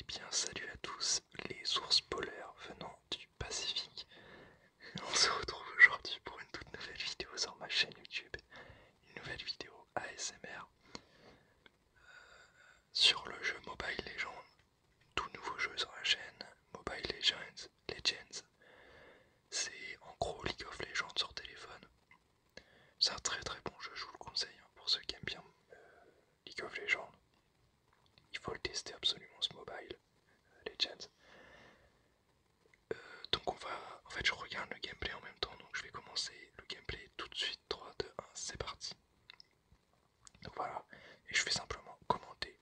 Eh bien, salut à tous les ours polaires venant du Pacifique. On se retrouve aujourd'hui pour une toute nouvelle vidéo sur ma chaîne YouTube. Une nouvelle vidéo ASMR euh, sur le jeu Mobile Legends. Tout nouveau jeu sur la chaîne Mobile Legends. Legends. C'est en gros League of Legends sur téléphone. C'est un très très bon jeu, je vous le conseille hein, pour ceux qui aiment bien euh, League of Legends. Il faut le tester absolument ce mobile euh, Legends. Euh, donc on va, en fait je regarde le gameplay en même temps, donc je vais commencer le gameplay tout de suite, 3, 2, 1, c'est parti. Donc voilà, et je vais simplement commenter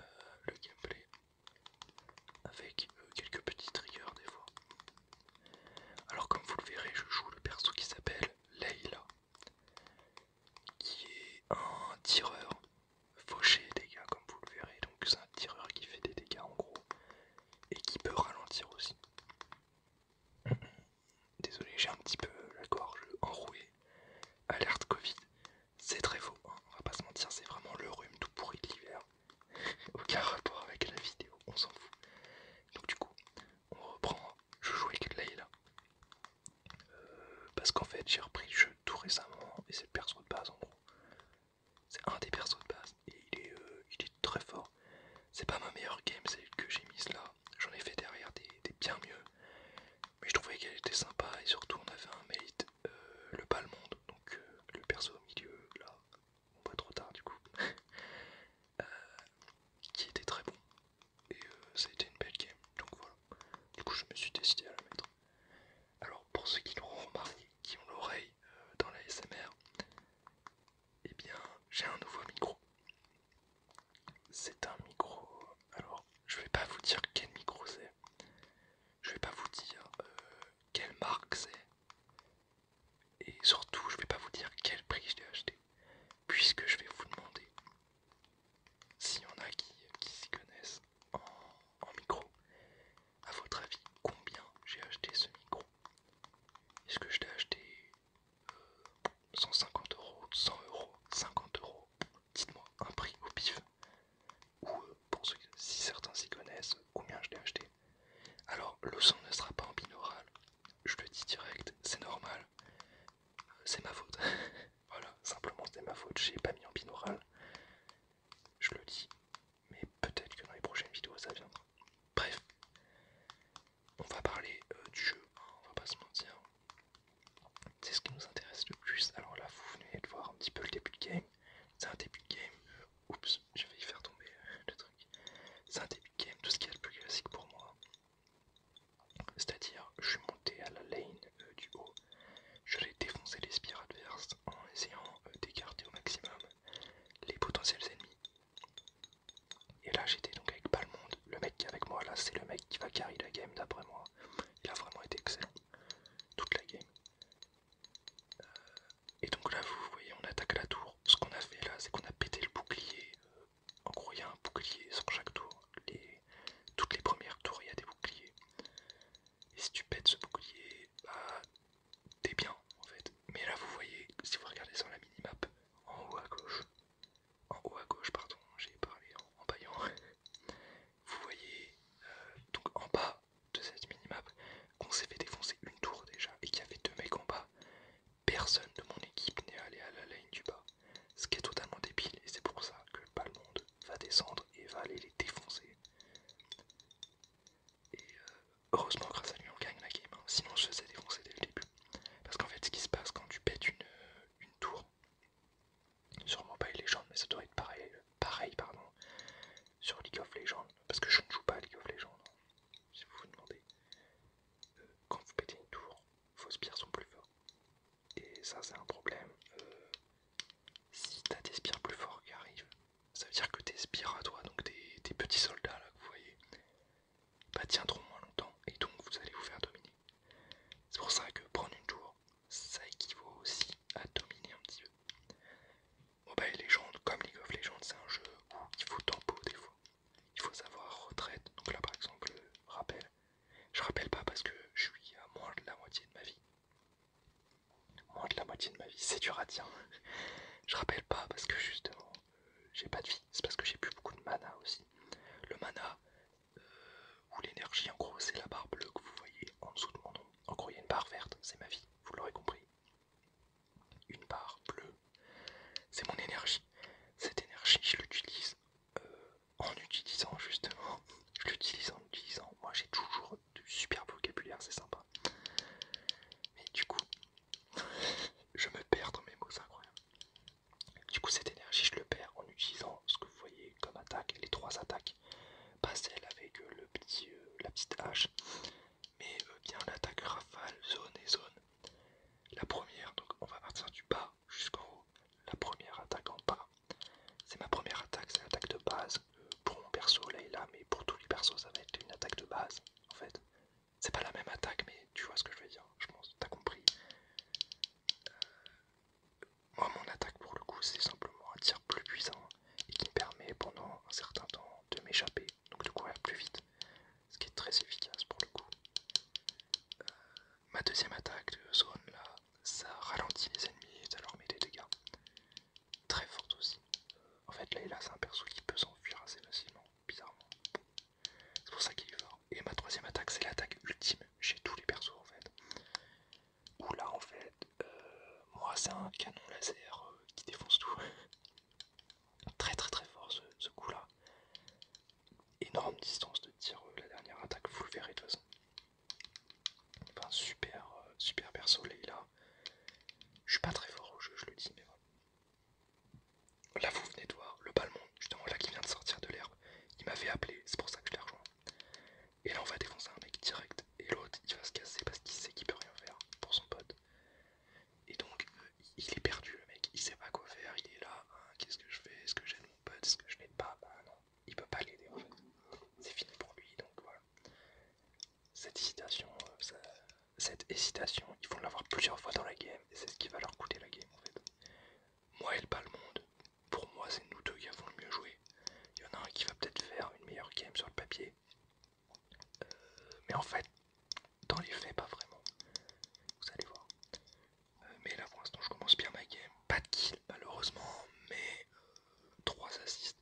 euh, le gameplay avec quelques petits triggers des fois. Alors comme vous le verrez, je joue le perso qui s'appelle Leila, qui est un tireur fauché dégâts, comme vous le verrez, donc c'est un tireur qui fait des dégâts en gros et qui peut ralentir aussi. Désolé, j'ai un petit peu la gorge enrouée. Alerte Covid, c'est très faux, hein, on va pas se mentir, c'est vraiment le rhume tout pourri de l'hiver. Aucun rapport avec la vidéo, on s'en fout. Donc du coup, on reprend. Je joue avec Layla. Euh, parce qu'en fait, j'ai repris le jeu tout récemment et c'est le perso de base en gros. C'est un des persos de base et il est, euh, il est très fort. C'est pas ma meilleure game, c'est que j'ai mise là. J'en ai fait derrière des, bien mieux. Mais je trouvais qu'elle était sympa et surtout on avait un euh, le le monde donc le perso au milieu là, pas trop tard du coup, euh, qui était très bon et euh, ça a été une belle game donc voilà, du coup je me suis décidé à la mettre. Alors pour ceux qui l'ont remarqué, qui ont l'oreille euh, dans la SMR, et eh bien j'ai un nouveau micro. C'est un micro, alors je vais pas vous dire quel micro c'est, je vais pas vous dire quelle marque c'est, et surtout, je ne vais pas vous dire quel prix je l'ai acheté, puisque je vais vous demander s'il y en a qui, s'y connaissent en, micro. À votre avis, combien j'ai acheté ce micro Est-ce que je l'ai acheté euh, cent 150 euros, 100 euros, 50 euros Dites-moi un prix au pif. Ou euh, pour si certains s'y connaissent, combien je l'ai acheté alors, le son ne sera pas en binaural, je le dis direct, c'est normal, c'est ma faute. voilà, simplement c'est ma faute, j'ai pas mis en binaural, je le dis, mais peut-être que dans les prochaines vidéos ça viendra. Bref, on va parler euh, du jeu, hein, on va pas se mentir, c'est ce qui nous intéresse le plus. Alors là, vous venez de voir un petit peu le début de game, c'est un début de game, euh, oups, je vais y faire tomber le truc, c'est un début Game tout ce qui est le plus classique pour moi. C'est-à-dire, je suis monté à la lane euh, du haut, je vais défoncé les spires adverses en essayant euh, d'écarter au maximum les potentiels ennemis. Et là, j'étais donc avec pas le monde. Le mec qui est avec moi là, c'est le mec qui va carry la game d'après moi. Il a vraiment été excellent toute la game. Euh, et donc là, vous voyez, on attaque la tour. Ce qu'on a fait là, c'est qu'on a pété le bouclier. En gros, il y a un bouclier sur chaque tour. Toutes les premières tours, il y a des boucliers. Et si tu pètes ce bouclier, bah, t'es bien en fait. Mais là, vous voyez, si vous regardez sur la mini-map, en haut à gauche, en haut à gauche, pardon, j'ai parlé en, baillant. Vous voyez, euh, donc en bas de cette minimap, qu'on s'est fait défoncer une tour déjà et qu'il y avait deux mecs en bas, personne de mon équipe n'est allé à la ligne du bas. Ce qui est totalement débile et c'est pour ça que pas le monde va descendre et va aller les défoncer. Et euh, heureusement grâce à lui on gagne la game, hein. sinon on se faisait défoncer dès le début. Parce qu'en fait ce qui se passe quand tu pètes une, euh, tour, sûrement pas une légende mais ça doit être pareil, pareil pardon, sur League of Legends, parce que je ne joue pas à League of Legends, hein. si vous vous demandez. Euh, quand vous pétez une tour, vos spires sont plus forts. Et ça c'est un problème. Euh, si t'as des spires plus forts qui arrivent, ça veut dire que tes spires à toi, donc tes, petits soldats là que vous voyez, bah tiendront moins longtemps et donc vous allez vous faire dominer. C'est pour ça que prendre une tour, ça équivaut aussi à dominer un petit peu les Legends, comme League of Legends, c'est un jeu où il faut tempo des fois. Il faut savoir retraite. Donc là par exemple, rappel. Je rappelle pas parce que je suis à moins de la moitié de ma vie. Moins de la moitié de ma vie, c'est dur à je rappelle pas parce que justement, euh, j'ai pas de vie. C'est parce que j'ai plus beaucoup de mana aussi. Le mana euh, ou l'énergie, en gros, c'est la barre bleue que vous voyez en dessous de mon nom. En gros, il y a une barre verte, c'est ma vie, vous l'aurez compris une barre bleue. C'est mon énergie. Cette énergie, je l'utilise euh, en utilisant justement. Je l'utilise en utilisant. Moi, j'ai toujours du super vocabulaire, c'est sympa. Mais du coup, je me perds dans mes mots, c'est incroyable. Du coup, cette énergie, je le perds en utilisant ce que vous voyez comme attaque, les trois attaques. Pas celle avec le petit, euh, la petite hache, mais euh, bien l'attaque rafale, zone et zone. La première, donc on va partir du bas jusqu'en haut. La première attaque en bas, c'est ma première attaque, c'est l'attaque de base. Euh, pour mon perso, là et là, mais pour tous les persos, ça va être une attaque de base en fait. C'est pas la même attaque, mais tu vois ce que je veux dire, je pense, t'as compris. Euh, moi, mon attaque pour le coup, c'est simplement un tir plus puissant et qui me permet pendant un certain temps de m'échapper donc de va plus vite, ce qui est très efficace pour le coup. Euh, ma deuxième attaque de zone là, ça ralentit les ennemis et ça leur met des dégâts. Très forte aussi. Euh, en fait, là, là c'est un perso qui peut s'enfuir assez facilement, bizarrement. C'est pour ça qu'il est fort. Et ma troisième attaque, c'est l'attaque ultime chez tous les persos en fait. Où là, en fait, euh, moi c'est un canon laser euh, qui défonce tout. très très très fort ce, coup là. Énorme distance de tir, euh, la dernière attaque, vous le verrez de toute façon. Enfin, super, super perso là. Je suis pas très fort au jeu, je le dis, mais voilà. Là vous venez de voir le Balmond, justement là qui vient de sortir de l'herbe. Il m'avait appelé, c'est pour ça que je l'ai rejoint. Et là on va défoncer un mec direct et l'autre il va se casser parce qu'il sait qu'il peut rien faire pour son pote. Et donc, euh, il est perdu le mec, il sait pas quoi faire, il est là, hein, qu'est-ce que je fais, est-ce que j'aide mon pote, est-ce que je n'aide pas, bah non, il peut pas l'aider en fait. C'est fini pour lui, donc voilà. Cette hésitation, euh, cette hésitation, ils vont l'avoir plusieurs fois dans la game, et c'est ce qui va leur coûter la game en fait. Moi et pas le monde, pour moi c'est nous deux qui avons le mieux joué. Il y en a un qui va peut-être faire une meilleure game sur le papier, mais en fait, dans les faits, pas vraiment. Vous allez voir. Euh, mais là, pour l'instant, je commence bien ma game. Pas de kill, malheureusement, mais 3 assists.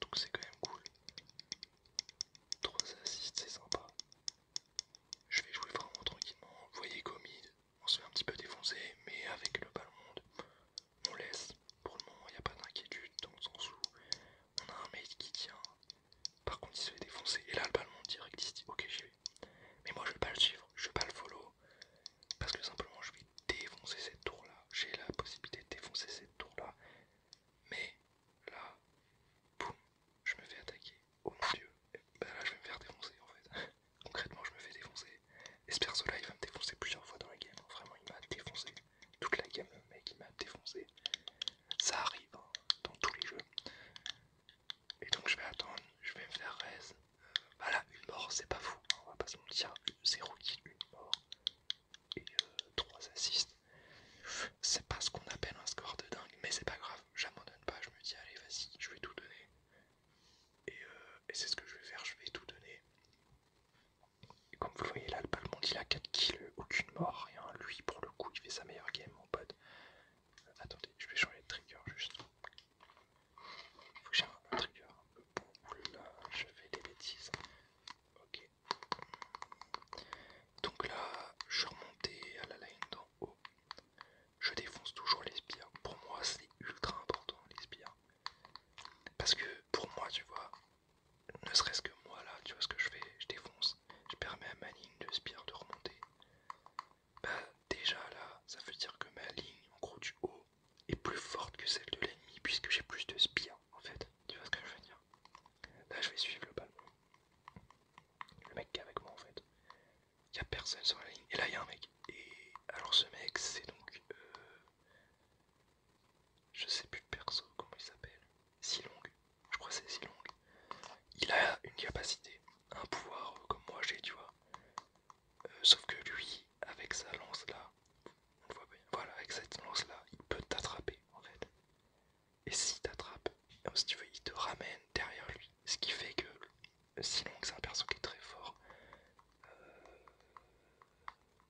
Donc c'est quand même cool. 3 assists, c'est sympa. Je vais jouer vraiment tranquillement. Vous voyez, comme on se fait un petit peu défoncer, mais avec le ballon, on laisse. Pour le moment, il n'y a pas d'inquiétude dans le sens où on a un mate qui tient. Par contre, il se fait défoncer. Et là, le ballon direct, il dit Ok, j'y vais. Mais moi, je vais pas le suivre, je vais pas le follow. Parce que simplement, je vais défoncer cette tour là. J'ai la possibilité de défoncer cette tour là. Mais là, boum, je me fais attaquer. Oh mon dieu. Euh, là, je vais me faire défoncer en fait. Concrètement, je me fais défoncer. Et ce là, il va me défoncer plusieurs fois dans la game. Vraiment, il m'a défoncé toute la gamme, mec il m'a défoncé. Ça arrive hein, dans tous les jeux. Et donc je vais attendre, je vais me faire res. Euh, voilà, une mort, c'est pas fou, hein, on va pas se mentir. Zéro kill, une mort et 3 euh, assists. C'est pas ce qu'on appelle un score de dingue, mais c'est pas grave, j'abandonne pas, je me dis allez vas-y, je vais tout donner. Et, euh, et c'est ce que je vais faire, je vais tout donner. Comme vous le voyez là, le monde il a 4 kills, aucune mort, rien. Lui pour le coup il fait sa meilleure game mon pote. Euh, attendez, je vais changer de trigger juste. Faut que j'ai un trigger Là, je fais des bêtises. Ok. Donc là, je suis remonté à la line d'en haut. Je défonce toujours les sbires. Pour moi, c'est ultra important les sbires. Parce que pour moi, tu vois, ne serait-ce que moi là, tu vois ce que je fais, je défonce, je permets à ma ligne de spire de remonter. Bah déjà là, ça veut dire que ma ligne en gros du haut est plus forte que celle de l'ennemi puisque j'ai plus de spire en fait, tu vois ce que je veux dire. Là je vais suivre le bal Le mec qui est avec moi en fait. Il a personne sur la ligne. Et là il y a un mec. Et alors ce mec c'est donc euh, je sais plus le perso, comment il s'appelle. Si Long, je crois que c'est Long. Il a une capacité, un pouvoir euh, comme moi j'ai, tu vois. Euh, sauf que lui, avec sa lance là, on le voit bien. Voilà, avec cette lance là, il peut t'attraper en fait. Et s'il t'attrape, euh, si tu veux, il te ramène derrière lui. Ce qui fait que Long, c'est un perso qui est très fort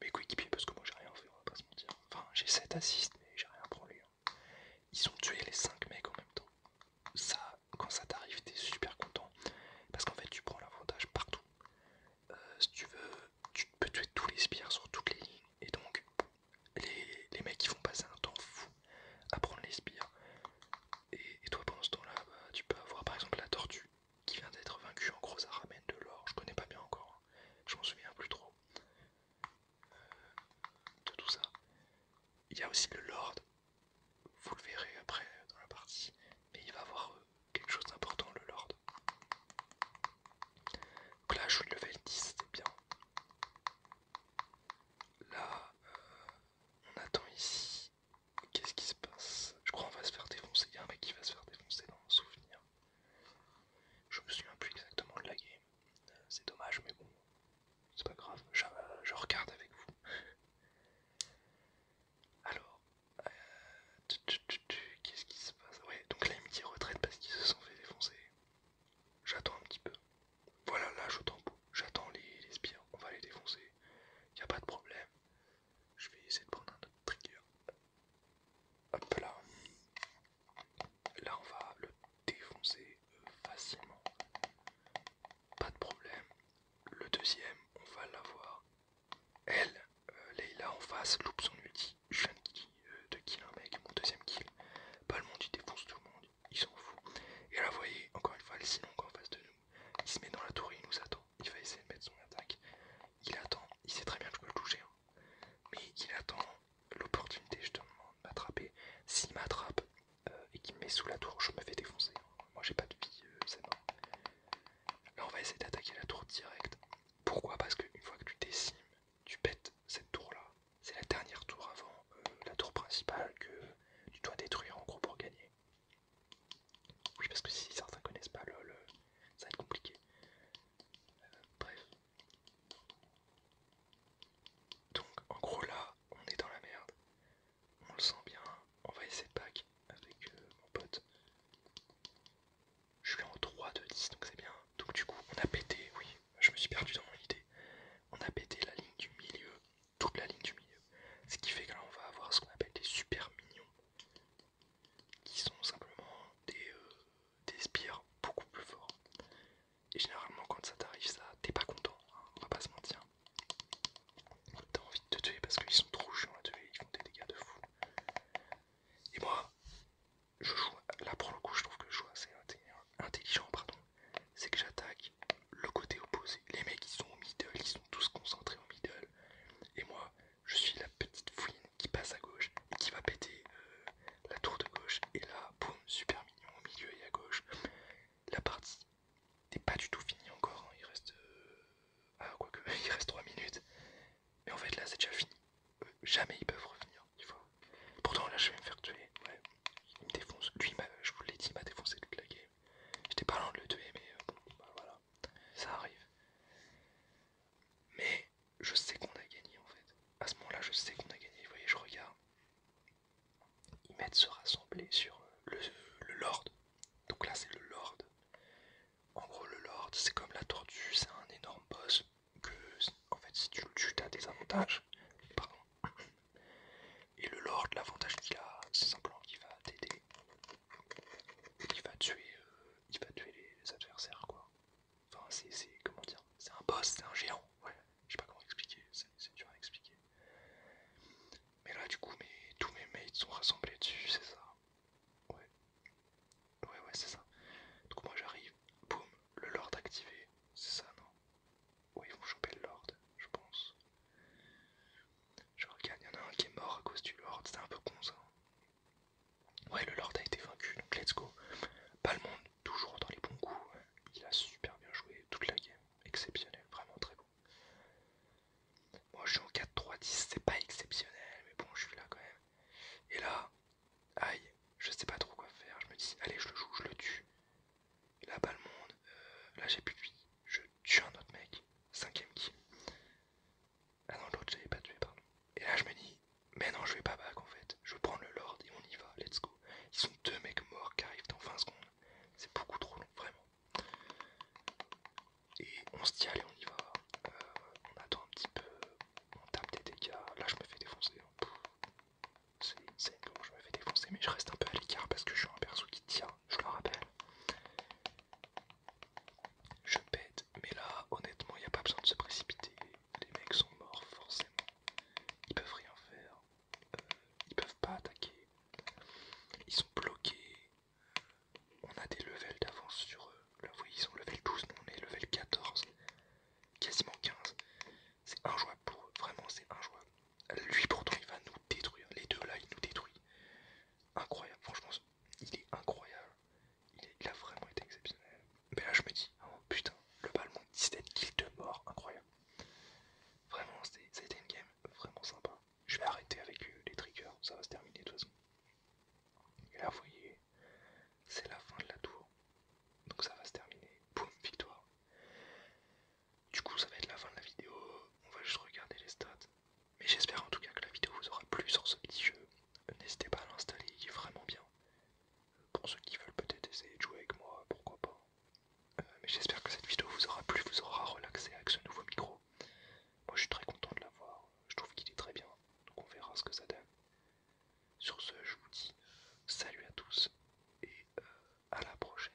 mes coéquipiers parce que moi j'ai rien fait, on va pas se mentir. Enfin, j'ai 7 assists, mais j'ai rien pris hein. Ils ont tué les 5 mecs en même temps. Ça, quand ça t'arrive, t'es super content parce qu'en fait, tu prends l'avantage partout. Euh, si tu veux, tu peux tuer tous les spires sur toutes les lignes et donc les, mecs ils vont passer un temps fou à prendre les spires. Et, toi pendant ce temps-là, bah, tu peux avoir par exemple la tortue qui vient d'être vaincu. En gros, à ramène de l'or. Je connais pas bien encore. Hein. Je m'en souviens plus trop euh, de tout ça. Il y a aussi le Lord. Vous le verrez après dans la partie. Mais il va avoir euh, quelque chose d'important, le Lord. Donc là, je suis level 10, c'est bien. Là, euh, on attend ici. Qu'est-ce qui se passe Je crois qu'on va se faire défoncer. Il un mec qui va se faire défoncer dans mon souvenir. Je me souviens plus exactement de la game. Euh, c'est dommage, mais bon, c'est pas grave. Je, euh, regarde avec vous. Alors, euh, qu'est-ce qui se passe Ouais, donc là ils me dit retraite parce qu'ils se sont fait défoncer. J'attends un petit peu. Voilà, là j'attends les, les spires, on va les défoncer. il Y a pas de problème. Je vais essayer de prendre un autre trigger. Hop là. Là, on va le défoncer euh, facilement. Pas de problème. Le deuxième, on va l'avoir. Elle, euh, Leila en face, loupe son ulti. Je viens de kill euh, un mec, mon deuxième kill. Pas le monde, il défonce tout le monde. Il s'en fout. Et là, vous voyez, encore une fois, elle est si en face de nous. Il se met dans la tour et il nous attend il va essayer de mettre son attaque. Il attend, il sait très bien que je peux le toucher. Hein. Mais il attend l'opportunité justement de m'attraper. S'il m'attrape euh, et qu'il me met sous la tour, je me fais défoncer. Moi j'ai pas de vie, euh, c'est Là on va essayer d'attaquer la tour directe. Pourquoi Parce que une fois que tu décimes, tu pètes cette tour là. C'est la dernière tour avant euh, la tour principale que tu dois détruire en gros pour gagner. Oui, parce que si certains connaissent pas LOL, euh, ça va être compliqué. Euh, bref. Donc, en gros, là, on est dans la merde. On le sent bien. On va essayer de pack avec euh, mon pote. Je suis en 3 de 10, donc c'est bien. Donc, du coup, on a pété. Oui, je me suis perdu dans mon idée. On a pété la ligne du milieu, toute la ligne du milieu. Ce qui fait que là, on va avoir ce qu'on appelle des super mignons qui sont simplement euh, des, spires beaucoup plus forts. Et généralement, quand ça t'arrive, ça t'es pas content, hein, on va pas se mentir. T'as envie de te tuer parce qu'ils sont trop chiants à tuer, ils font des dégâts de fou. Et moi, je joue, là pour le coup, je trouve que je joue assez intelligent, pardon. C'est que j'attaque le côté opposé. Les mecs ils sont au middle, ils sont tous concentrés au middle. Et moi, je suis la petite fouine qui passe à gauche et qui va péter euh, la tour de gauche. Et là, boum, super mignon au milieu et à gauche. La partie n'est pas du tout finie encore. Hein. Il reste. Euh, ah, il reste 3 minutes. Mais en fait, là, c'est déjà fini. Euh, jamais ils peuvent revenir, il faut... Pourtant, là, je vais me faire tuer. Ouais, il me défonce. Lui, je vous l'ai dit, il m'a défoncé toute la game. J'étais pas loin de le tuer, mais bon, bah, voilà. Ça arrive. Mais je sais qu'on a gagné en fait. À ce moment-là, je sais qu'on a gagné. Vous voyez, je regarde. Ils mettent se rassembler sur euh, le, Lord. Donc là, c'est le Lord. En gros, le Lord, c'est comme la tortue, c'est un énorme boss. Que en fait, si tu le tues, t'as des avantages. Et le Lord, l'avantage qu'il a, c'est simplement qu'il va t'aider il va tuer, euh, va tuer les, adversaires quoi. Enfin c'est comment dire, c'est un boss, c'est un géant. Ouais, je sais pas comment expliquer, c'est dur à expliquer. Mais là du coup, tous mes mates sont rassemblés dessus, c'est ça. Ouais, ouais, ouais, c'est ça. Donc moi j'arrive, boum, le lord activé, c'est ça non. Ouais, ils vont choper le lord, je pense. Je regarde, il y en a un qui est mort à cause du Lord, C'est un peu con ça. Ouais, le Lord a été vaincu, donc let's go. Pas toujours dans les bons coups. Il a super bien joué toute la game, exceptionnel, vraiment très bon. Moi je suis en 4-3-10, c'est pas exceptionnel, mais bon, je suis là quand même. Et là, aïe, je sais pas trop quoi faire. Je me dis, allez, je le joue, je le tue. Là-bas, le monde, euh, là j'ai plus de vie. Je tue un autre mec, cinquième qui Ah non, l'autre j'avais pas tué, pardon. Et là je me dis, mais non, je vais pas back en fait. Je vais prendre le Lord et on y va, let's go. Ils sont deux mecs morts qui arrivent dans 20 secondes. C'est beaucoup trop long, vraiment. Et on se dit, allez, on y va. Euh, on attend un petit peu, on tape des dégâts. Là, je me fais défoncer. Hein. C'est une comment je me fais défoncer, mais je reste un peu à l'écart parce que je suis un perso qui tient, je le rappelle. Je pète, mais là, honnêtement, il n'y a pas besoin de se précipiter. Les mecs sont morts, forcément. Ils peuvent rien faire. Euh, ils peuvent pas attaquer. Ils sont bloqués. On a des levels d'avance sur eux. Là, vous voyez, ils sont level 12, nous on est level 14. Quasiment 15. C'est un injouable pour eux. Vraiment, c'est un injouable. Lui, pourtant, il va nous détruire. Les deux là, il nous détruit incroyable, franchement, il est incroyable, il, a vraiment été exceptionnel. Mais là, je me dis, oh putain, le ballon, c'était de kills de mort, incroyable. Vraiment, c'était a une game vraiment sympa. Je vais arrêter avec les triggers, ça va se terminer de toute façon. Et là, vous voyez, c'est la fin de la tour. Donc ça va se terminer. Boum, victoire. Du coup, ça va être la fin de la vidéo. On va juste regarder les stats. Mais j'espère en tout cas que la vidéo vous aura plu sur ce petit jeu. N'hésitez pas à l'installer, il est vraiment bien. Pour ceux qui veulent peut-être essayer de jouer avec moi, pourquoi pas. Euh, mais j'espère que cette vidéo vous aura plu, vous aura relaxé avec ce nouveau micro. Moi je suis très content de l'avoir, je trouve qu'il est très bien, donc on verra ce que ça donne. Sur ce, je vous dis salut à tous et euh, à la prochaine.